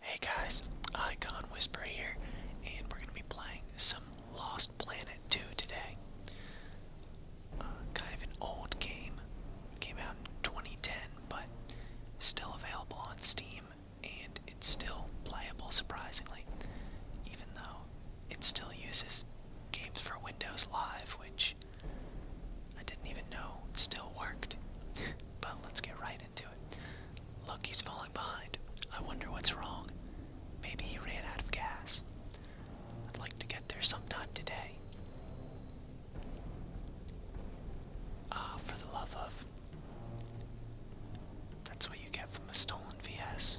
Hey guys, Icon Whisperer here, and we're going to be playing some Lost Planet 2 today. Uh, kind of an old game, came out in 2010, but still available on Steam, and it's still playable surprisingly, even though it still uses games for Windows Live, which I didn't even know still worked. but let's get right into it. Look, he's falling behind. I wonder what's wrong. Maybe he ran out of gas. I'd like to get there sometime today. Ah, for the love of. That's what you get from a stolen VS.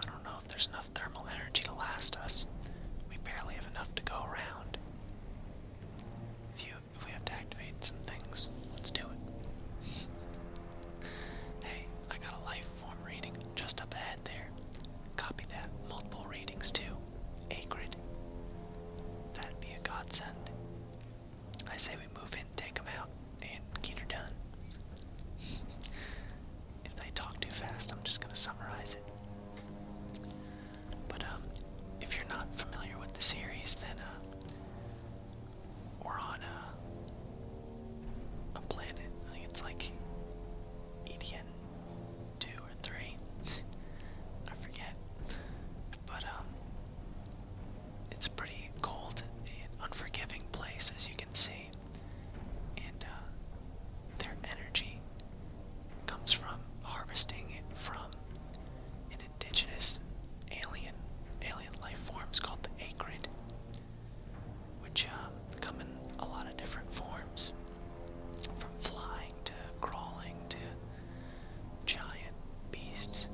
I don't know if there's enough thermal energy to last us. We barely have enough to go around. If, you, if we have to activate some things, let's do it. hey, I got a life form reading just up ahead there. Copy that. Multiple readings too. Acrid. That'd be a godsend. I say we move in, take them out, and get her done. if they talk too fast, I'm just going to summarize it. But um, if you're not familiar with the series, then uh, we're on a, uh, a planet. I think it's like EDN two or three. I forget. But um, it's a pretty cold and unforgiving place, as you can see and uh, their energy comes from harvesting it from an indigenous alien alien life forms called the acrid, which uh, come in a lot of different forms, from flying to crawling to giant beasts.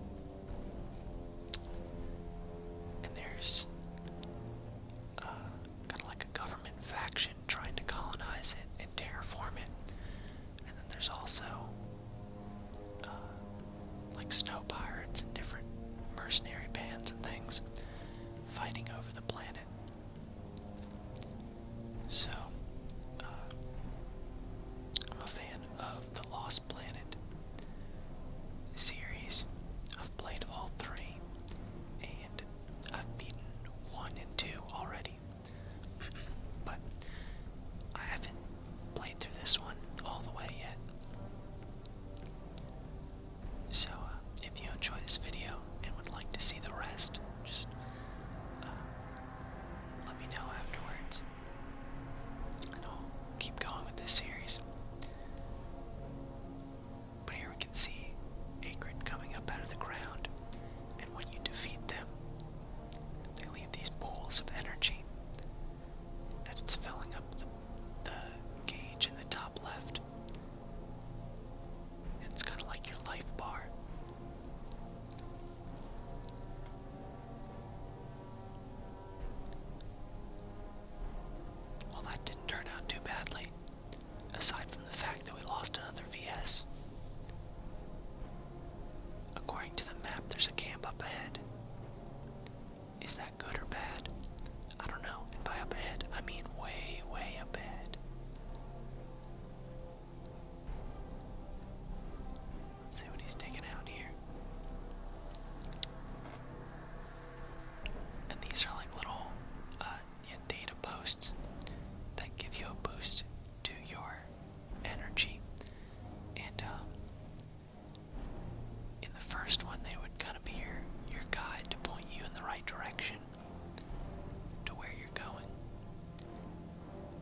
And there's uh, kind of like a government faction trying to colonize it and terraform it. And then there's also uh, like snow pirates different mercenary bands and things fighting over the planet. So, uh, I'm a fan of the Lost Planet series. I've played all three, I've beaten one and two already. but I haven't played through this one all the way yet. So, uh, if you enjoy this video and would like to see the rest, just uh, let me know afterwards. And I'll keep going with this series. But here we can see Akron coming up out of the ground, and when you defeat them, they leave these pools of energy that it's filling up the, gauge in the top left. it's kind of like your life bar. Well, that didn't turn out too badly, aside from the fact that we lost another VS. According to the map, there's a camp up ahead. Is that good or bad? I don't know. And by up ahead, I mean way, way up ahead. see what he's taking out here. And these are like little uh, data posts that give you a boost to your energy. And um, in the first one, they would kind of be your, your guide to point you in the right direction to where you're going.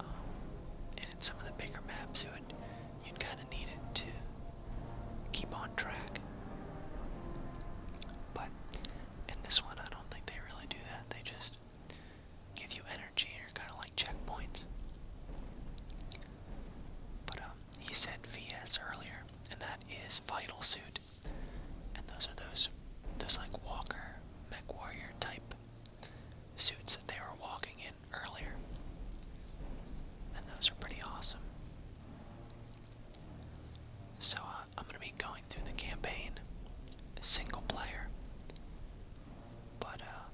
Um, and in some of the bigger maps, it would, you'd kind of need it to keep on track. But in this one, I don't think they really do that. They just give you energy or kind of like checkpoints. But um, he said VS earlier, and that is Vital Suit, and those are those, those like Walker, Mech Warrior type suits that they were walking in earlier, and those are pretty awesome. So uh, I'm gonna be going through the campaign, single player. But uh,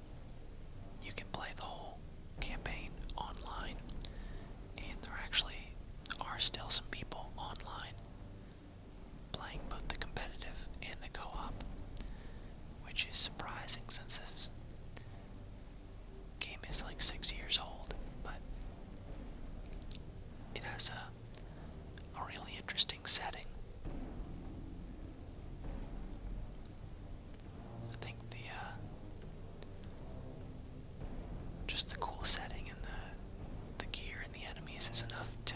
you can play the whole campaign online, and there actually are still some people online playing both the competitive and the co-op, which is surprising since this game is like six years old, but it has a, a really interesting setting. I think the uh, just the cool setting and the the gear and the enemies is enough to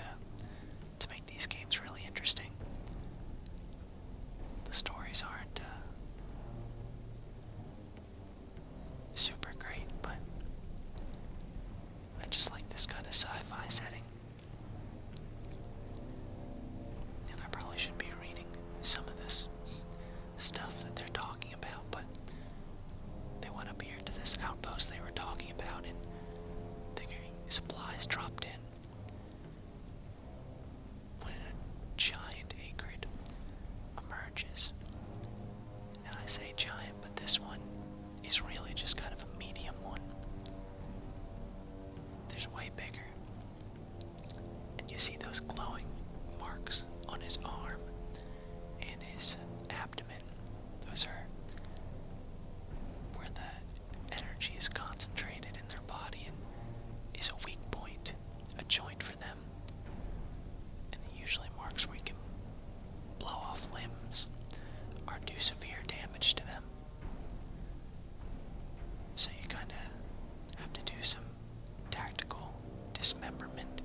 to make these games really interesting. The stories aren't uh, super great, but I just like this kind of sci-fi setting. And I probably should be reading some of this stuff that they're talking about, but they went up here to this outpost they were talking about and the supplies dropped in when a giant acrid emerges. And I say giant, but this one is really just kind of a medium one. There's way bigger. And you see those glowing marks on his arm and his abdomen. Those are where the energy is concentrated in their body and is a weak point, a joint them. And it usually marks where you can blow off limbs or do severe damage to them. So you kind of have to do some tactical dismemberment.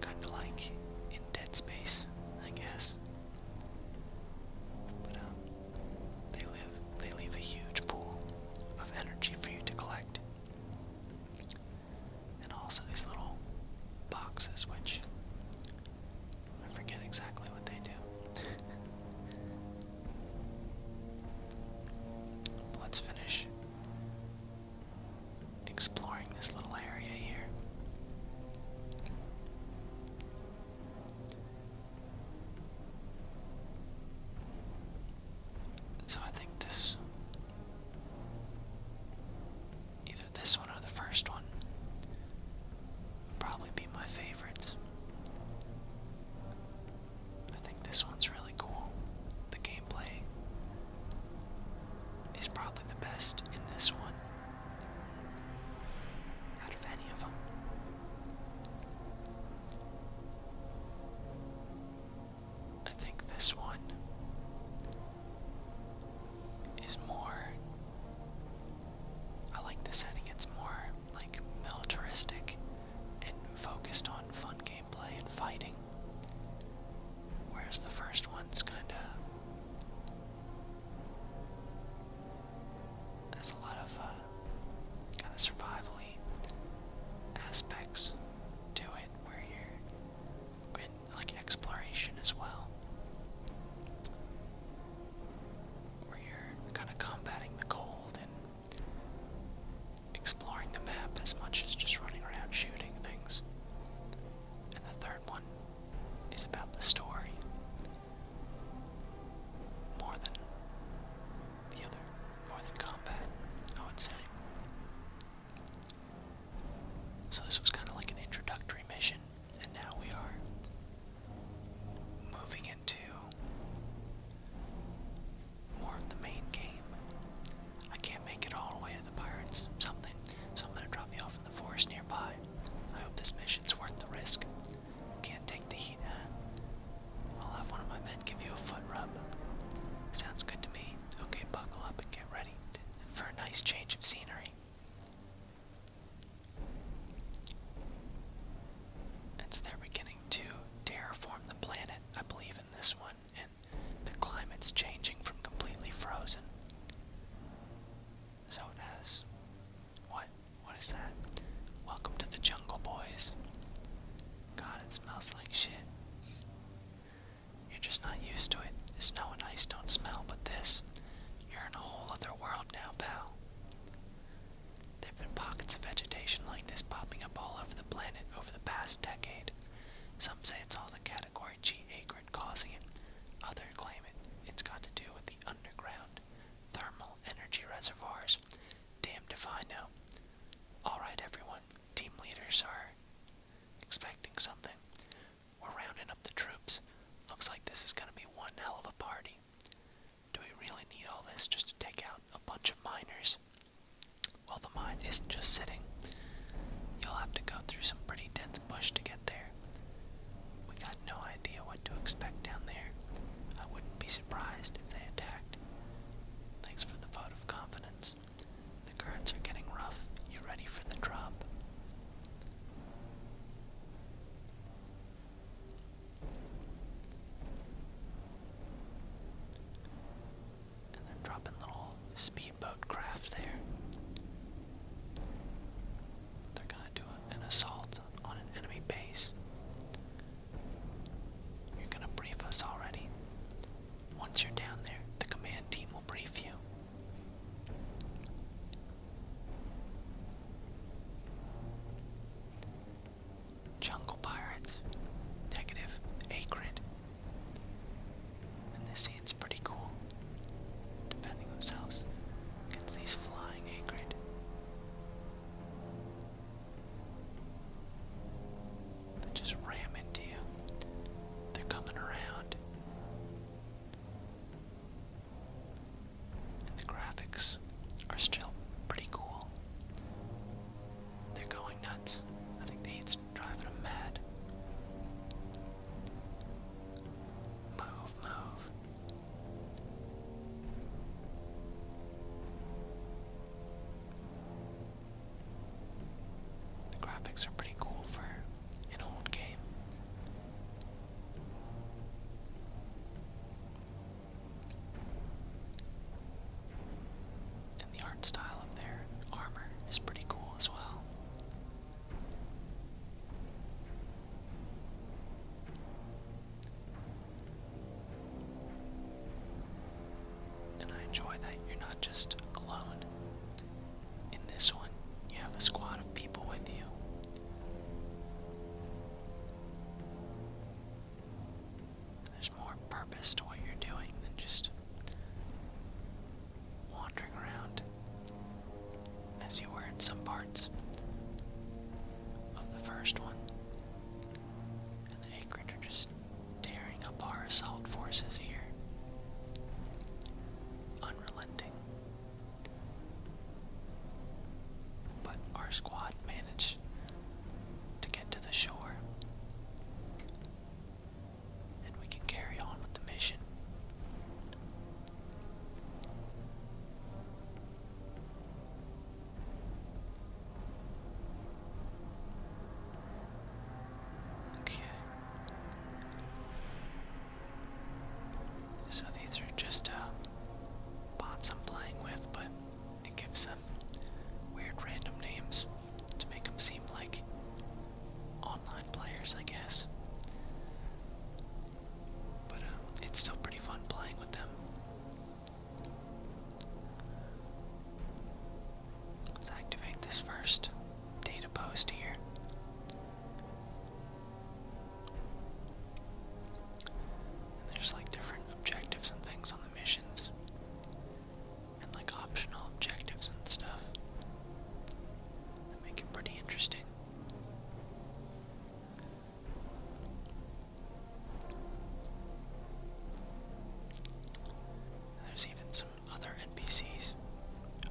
Kind of like in Dead Space, I guess. But um, they live they leave a huge pool of energy for you to collect. And also these little boxes, which I forget exactly what they do. Let's finish exploring this little area here. So I think this. Either this one or the first one probably be my favorites. I think this one's really cool. The gameplay is probably the best in this one out of any of them. I think this one is more. I like the setting, it's more like militaristic and focused on fun gameplay and fighting. Whereas the first one's kinda. There's a lot of uh, uh, kind of survivally aspects to it where you're like exploration as well. Where you're kind of combating the cold and exploring the map as much as just running around shooting things. And the third one is about the story. More than the other more than combat, I would say. So this was kind of like an introductory mission, and now we are moving into more of the main game. I can't make it all the way to the pirates, something, so I'm gonna drop you off in the forest nearby. I hope this mission's worth the risk. Can't take the heat. I'll have one of my men give you a foot rub. Sounds good to me. Okay, buckle up and get ready for a nice change of scenery. And they're beginning to terraform the planet, I believe, in this one, and the climate's changing from completely frozen. So it what? What is that? Welcome to the jungle, boys. God, it smells like shit. You're just not used to it. Snow and ice don't smell, but this. You're in a whole other world now, pal. There've been pockets of vegetation like this popping up all over the planet over the past decade. Some say it's all the category G acrid causing it. Others claim it. It's got to do with the underground thermal energy reservoirs Damn, if I know. Alright, everyone. Team leaders are expecting something. We're rounding up the troops. Looks like this is gonna be one hell of a party. Do we really need all this just to take out a bunch of miners? Well, the mine isn't just sitting. You'll have to go through some pretty dense bush to get there. We got no idea what to expect down there. I wouldn't be surprised surprised if they attacked. Thanks for the vote of confidence. The currents are getting rough. You ready for the drop? And they're dropping little speedboat craft there. They're gonna do an assault on an enemy base. You're gonna brief us already. Once you're down there, the command team will brief you. Jungle Pirates, negative, acrid. this scene's pretty cool. Defending themselves against these flying acrid. They just ram into you. They're coming around. And the graphics are still pretty cool. They're going nuts. I think the heat's driving them mad. Move, move. The graphics are pretty cool for an old game. And the art style of their armor is pretty cool as well. And I enjoy that you're not just alone. In this one, you have a squad of people with you. There's more purpose to what you're doing than just wandering around as you were in some parts of the first one. And the Acrid are just tearing up our assault forces here. Unrelenting. But our squad managed to get to the shore. And we can carry on with the mission. Okay. So these are just uh, bots I'm playing with, but it gives them weird random names to make them seem like online players, I guess. But uh, it's still pretty fun playing with them. activate this first data post here. there's like different objectives and things on the missions, and like optional objectives and stuff that make it pretty interesting there's even some other NPCs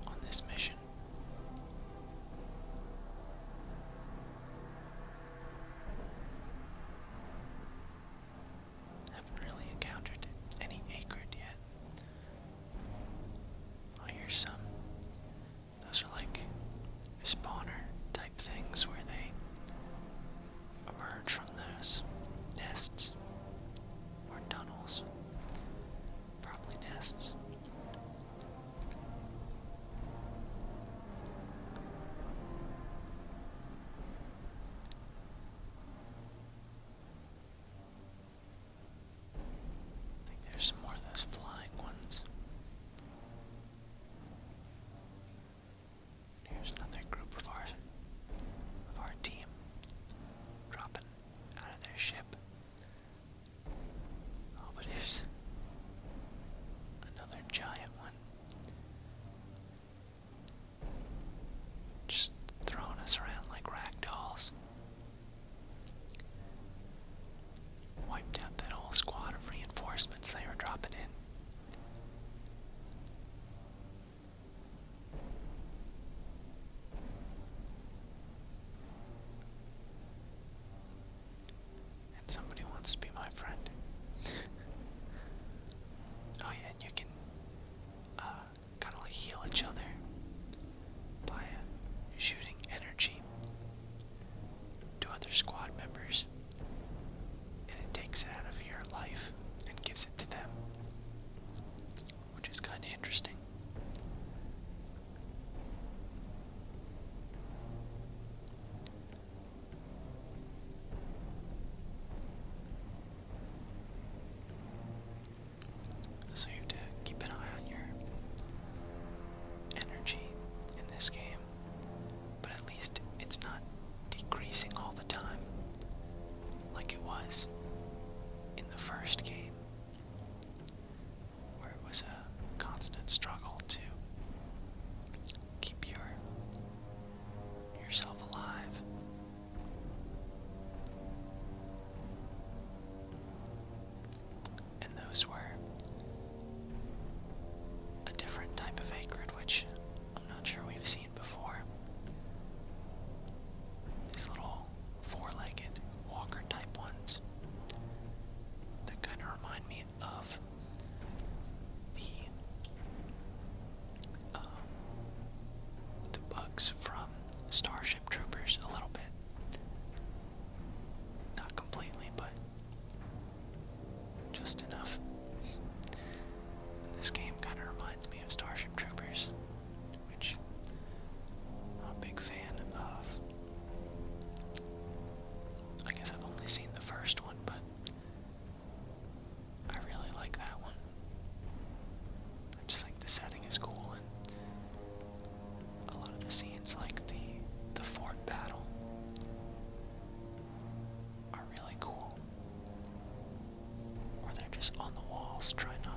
on this mission. Haven't really encountered any acrid yet. I hear some those are like spawner type things where they emerge from those nests or tunnels. Probably nests. I think there's more of those flying ones. Here's another group of our of our team dropping out of their ship. Oh, but here's another giant one. Just throwing us around like rag dolls. Wiped out that whole squad of reinforcements they were dropping in. And somebody wants to be my friend. oh yeah, and you can uh, kind of like heal each other via shooting energy to other squad members, and it takes it out of your life and gives it to them, which is kind of interesting. So you have to keep an eye on your energy in this game. But at least it's not decreasing all the time like it was in the first game, where it was a constant struggle to keep your yourself alive and those were a different type of acrid, which I'm not sure we've seen before. These little four-legged walker-type ones that kind of remind me of the um, the bugs from Starship Troopers a little bit. Not completely, but just enough. This game kind of reminds me of Starship Troopers, which I'm a big fan of. I guess I've only seen the first one, but I really like that one. I just think the setting is cool a lot of the scenes like the the fort battle are really cool. Or they're just on the walls trying to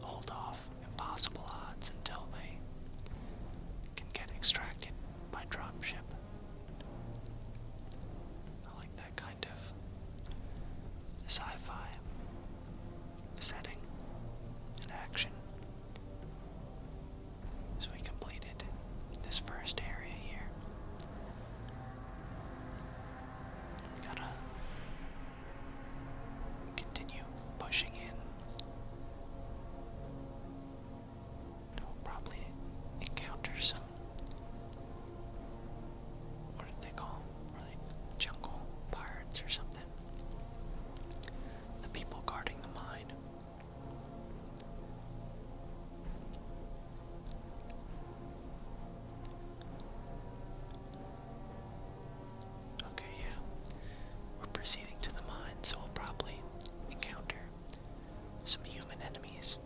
hold off impossible odds until they can get extracted by dropship. I like that kind of sci-fi setting and action. So we completed this first area here. gotta continue pushing in. We'll probably encounter some what did they call them? jungle pirates or something? The people guarding the mine. Okay, yeah. We're proceeding to the mine, so we'll probably encounter some human enemies.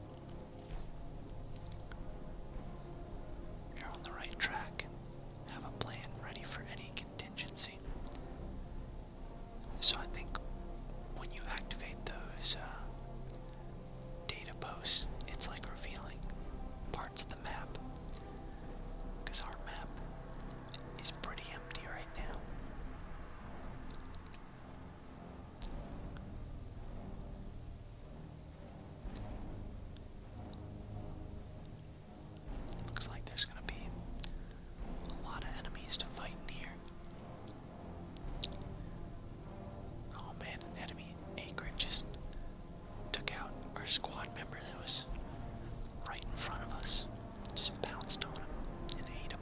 You're on the right track have a plan ready for any contingency. So I think when you activate those uh, data posts, it's like revealing parts of the map. Because our map is pretty empty right now. Looks like there's gonna be a lot of enemies to fight in here. Oh man, an enemy Acrid just took out our squad member that was right in front of us. Just pounced on him and ate him.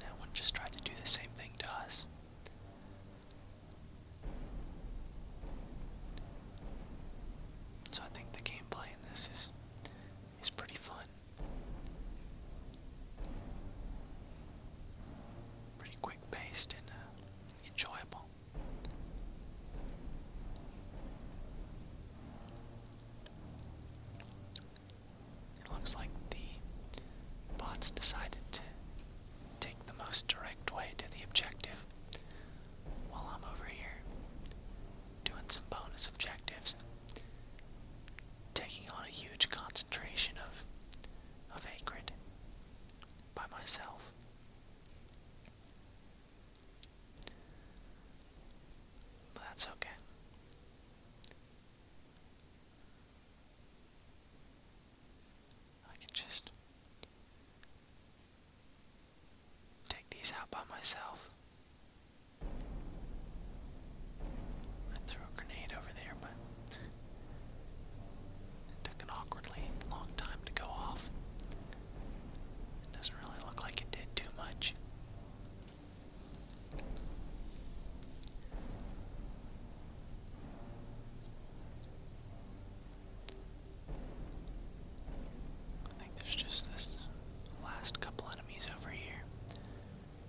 that one just tried to do the same thing to us. So I think the gameplay in this is is pretty fun. Pretty quick paced and uh, enjoyable. It looks like the bots decided to take the most direct way to the objective while I'm over here doing some bonus objectives, taking on a huge concentration of, a acrid by myself. that's okay. I can just take these out by myself. I threw a grenade over there, but it took an awkwardly long time to go off. It doesn't really look like it did too much. I think there's just this last couple enemies over here.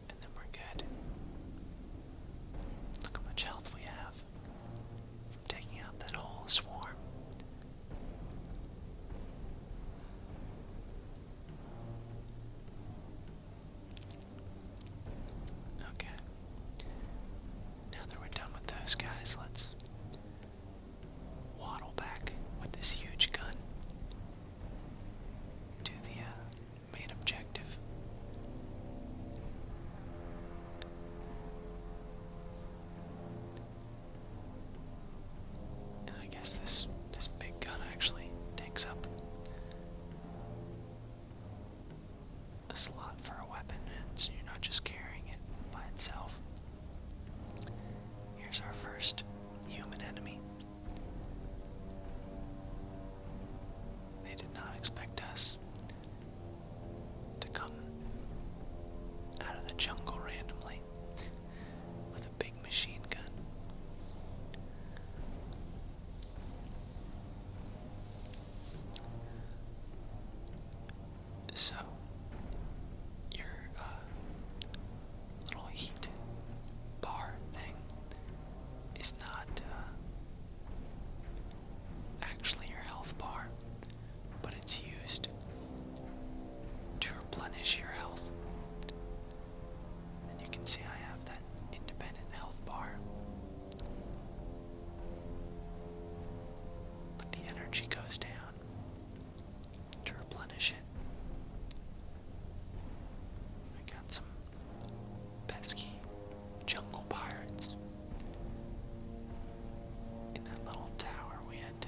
And then we're good. Look how much health we have from taking out that whole swarm. Okay. Now that we're done with those guys, let's waddle back with this huge gun to the uh, main objective. And I guess this this big gun actually takes up a slot for a weapon, and so you're not just carrying it by itself. Here's our first human enemy. They did not expect us to come out of the jungle randomly with a big machine gun. So, your uh, little heat bar thing is not uh, actually your health bar, but it's used to replenish your health. And you can see I have that independent health bar. But the energy goes down to replenish it. I got some pesky jungle pirates. In that little tower, we had to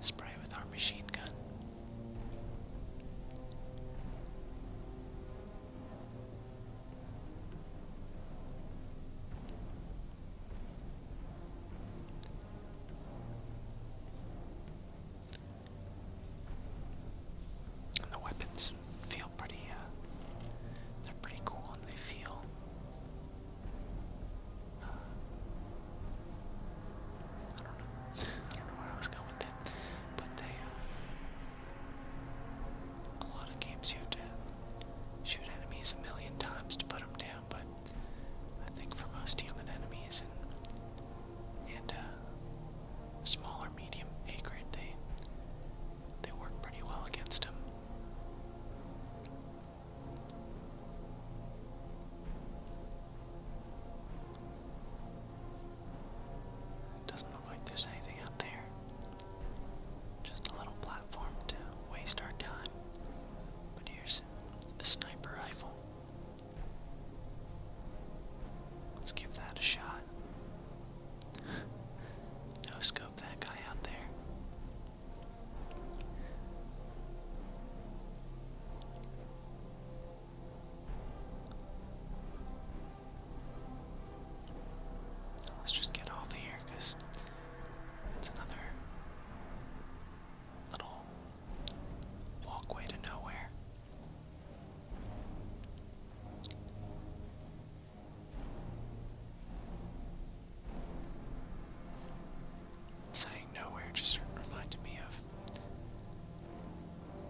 spray with our machine gun. And the weapons feel pretty, uh, they're pretty cool and they feel uh, I don't know. I don't know where I was going with that. But they, uh, a lot of games you have to shoot enemies a million times to put them down, but I think for most human enemies and, and uh, smaller, medium acrid, they, they work pretty well against them like there's anything out there. Just a little platform to waste our time. But here's a sniper rifle. Let's give that a shot. no scope that guy out there. Let's just get off of here because it's another little walkway to nowhere. Saying nowhere just reminded me of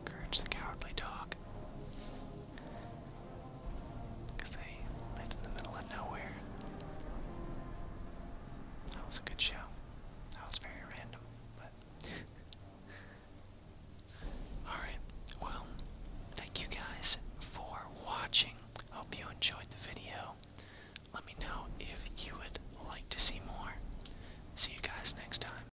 Courage the Cowardly Dog. Because they lived in the middle of nowhere. That was a good show. That was very random, but. Alright, well, thank you guys for watching. Hope you enjoyed the video. Let me know if you would like to see more. See you guys next time.